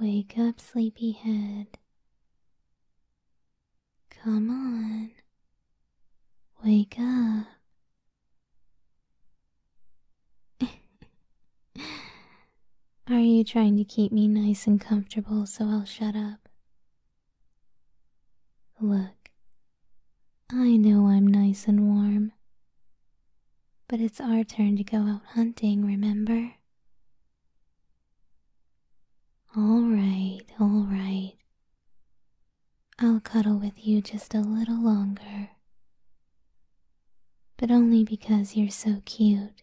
Wake up, sleepyhead. Come on. Wake up. Are you trying to keep me nice and comfortable so I'll shut up? Look, I know I'm nice and warm. But it's our turn to go out hunting, remember? All right, all right. I'll cuddle with you just a little longer. But only because you're so cute.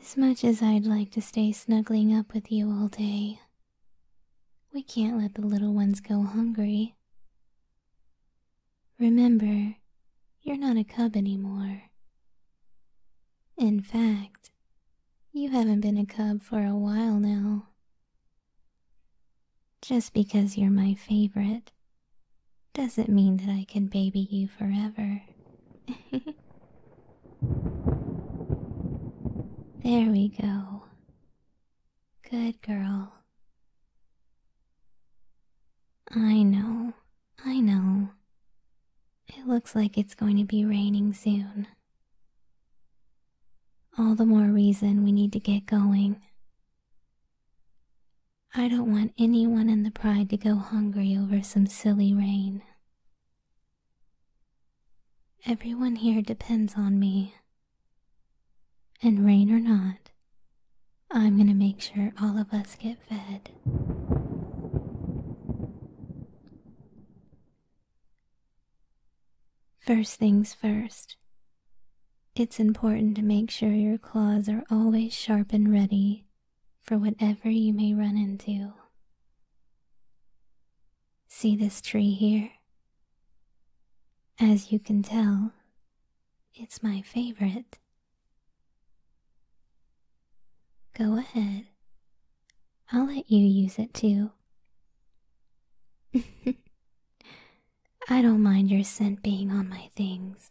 As much as I'd like to stay snuggling up with you all day, we can't let the little ones go hungry. Remember, you're not a cub anymore. In fact, you haven't been a cub for a while now. Just because you're my favorite doesn't mean that I can baby you forever. there we go. Good girl. I know, I know. It looks like it's going to be raining soon. All the more reason we need to get going. I don't want anyone in the pride to go hungry over some silly rain. Everyone here depends on me. And rain or not, I'm going to make sure all of us get fed. First things first, it's important to make sure your claws are always sharp and ready for whatever you may run into. See this tree here? As you can tell, it's my favorite. Go ahead. I'll let you use it too. I don't mind your scent being on my things.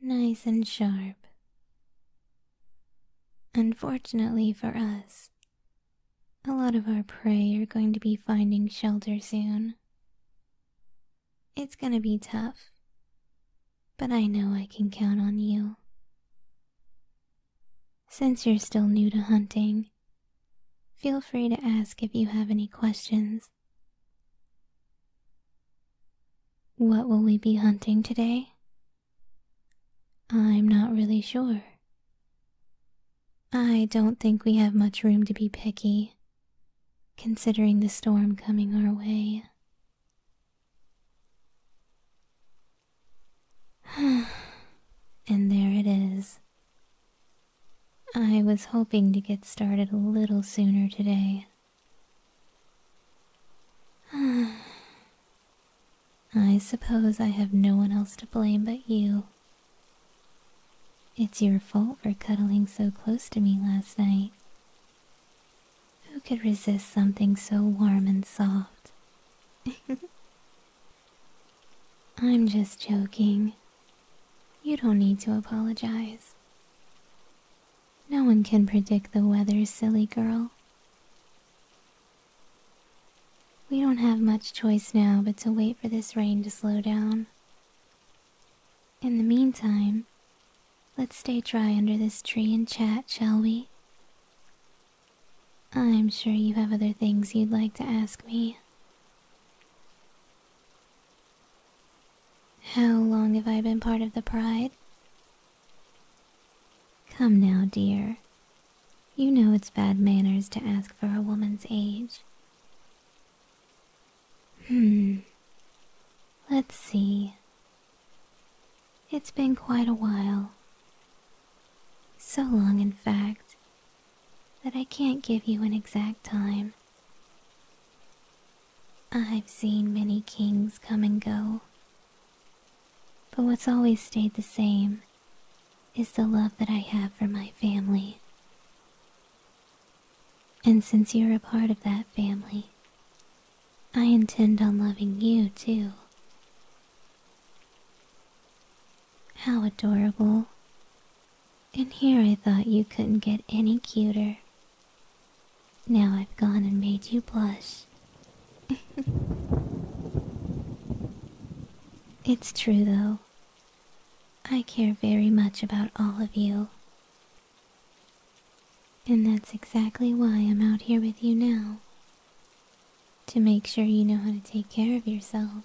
nice and sharp. Unfortunately for us, a lot of our prey are going to be finding shelter soon. It's gonna be tough, but I know I can count on you. Since you're still new to hunting, feel free to ask if you have any questions. What will we be hunting today? I'm not really sure. I don't think we have much room to be picky, considering the storm coming our way. and there it is. I was hoping to get started a little sooner today. I suppose I have no one else to blame but you. It's your fault for cuddling so close to me last night. Who could resist something so warm and soft? I'm just joking. You don't need to apologize. No one can predict the weather, silly girl. We don't have much choice now but to wait for this rain to slow down. In the meantime, let's stay dry under this tree and chat, shall we? I'm sure you have other things you'd like to ask me. How long have I been part of the pride? Come now, dear. You know it's bad manners to ask for a woman's age. Hmm. Let's see. It's been quite a while. So long, in fact, that I can't give you an exact time. I've seen many kings come and go, but what's always stayed the same is the love that I have for my family. And since you're a part of that family, I intend on loving you too. How adorable and here I thought you couldn't get any cuter. Now I've gone and made you blush. it's true, though. I care very much about all of you. And that's exactly why I'm out here with you now. To make sure you know how to take care of yourself.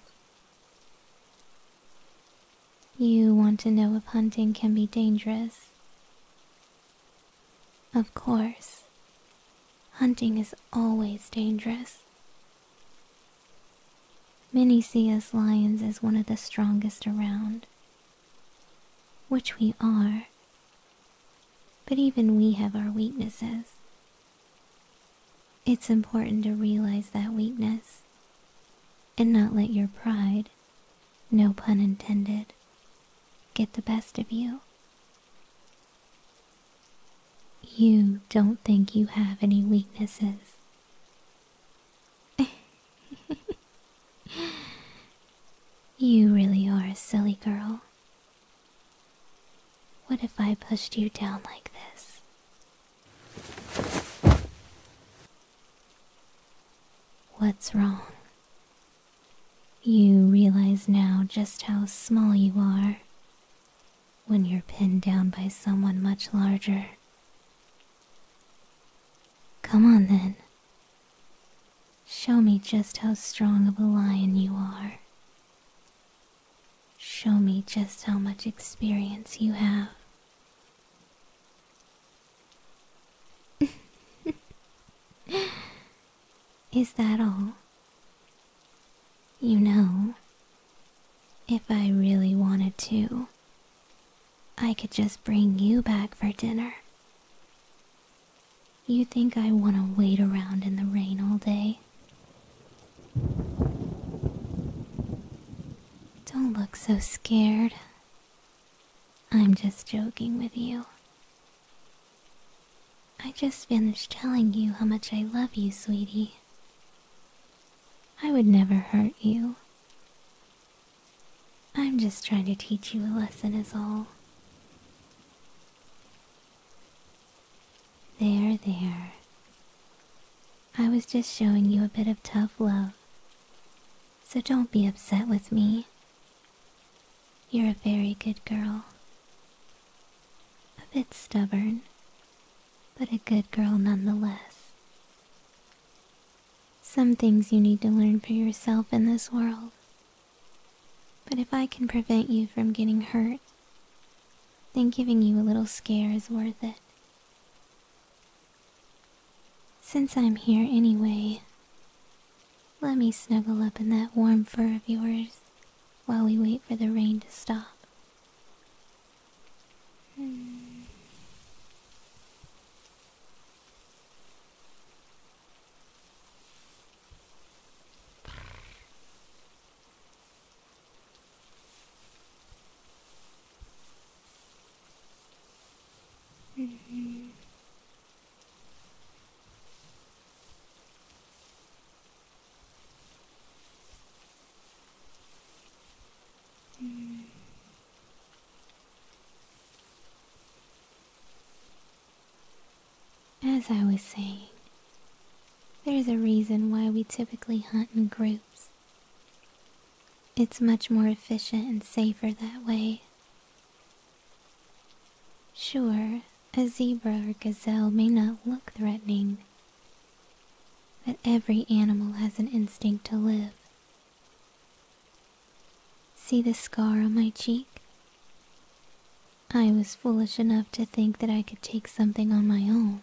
You want to know if hunting can be dangerous? Of course. Hunting is always dangerous. Many see us lions as one of the strongest around, which we are. But even we have our weaknesses. It's important to realize that weakness and not let your pride, no pun intended, get the best of you. You don't think you have any weaknesses. you really are a silly girl. What if I pushed you down like this What's wrong? You realize now just how small you are when you're pinned down by someone much larger. Come on then. Show me just how strong of a lion you are. Show me just how much experience you have. Is that all? You know, if I really wanted to, I could just bring you back for dinner. You think I want to wait around in the rain all day? Don't look so scared. I'm just joking with you. I just finished telling you how much I love you, sweetie. I would never hurt you. I'm just trying to teach you a lesson, is all. There, there. I was just showing you a bit of tough love. So don't be upset with me. You're a very good girl. A bit stubborn, but a good girl nonetheless. Some things you need to learn for yourself in this world. But if I can prevent you from getting hurt, then giving you a little scare is worth it. Since I'm here anyway, let me snuggle up in that warm fur of yours while we wait for the rain to stop. As I was saying, there's a reason why we typically hunt in groups. It's much more efficient and safer that way. Sure, a zebra or gazelle may not look threatening, but every animal has an instinct to live. See the scar on my cheek? I was foolish enough to think that I could take something on my own.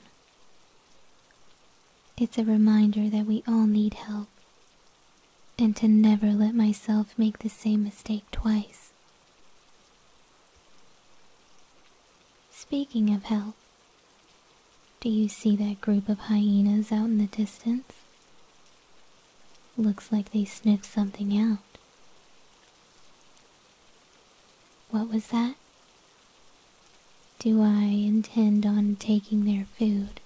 It's a reminder that we all need help, and to never let myself make the same mistake twice. Speaking of help, do you see that group of hyenas out in the distance? Looks like they sniffed something out. What was that? Do I intend on taking their food?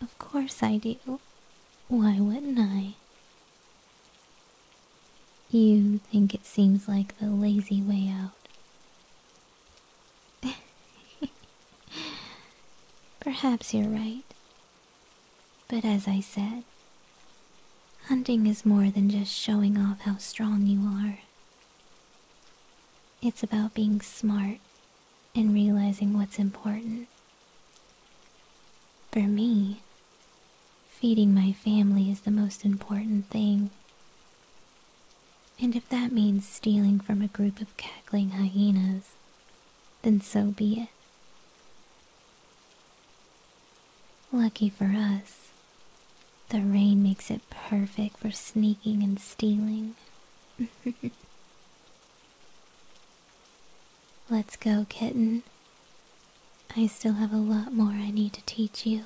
Of course I do. Why wouldn't I? You think it seems like the lazy way out. Perhaps you're right. But as I said, hunting is more than just showing off how strong you are. It's about being smart and realizing what's important. For me, feeding my family is the most important thing. And if that means stealing from a group of cackling hyenas then so be it. Lucky for us, the rain makes it perfect for sneaking and stealing. Let's go, kitten. I still have a lot more I need to teach you.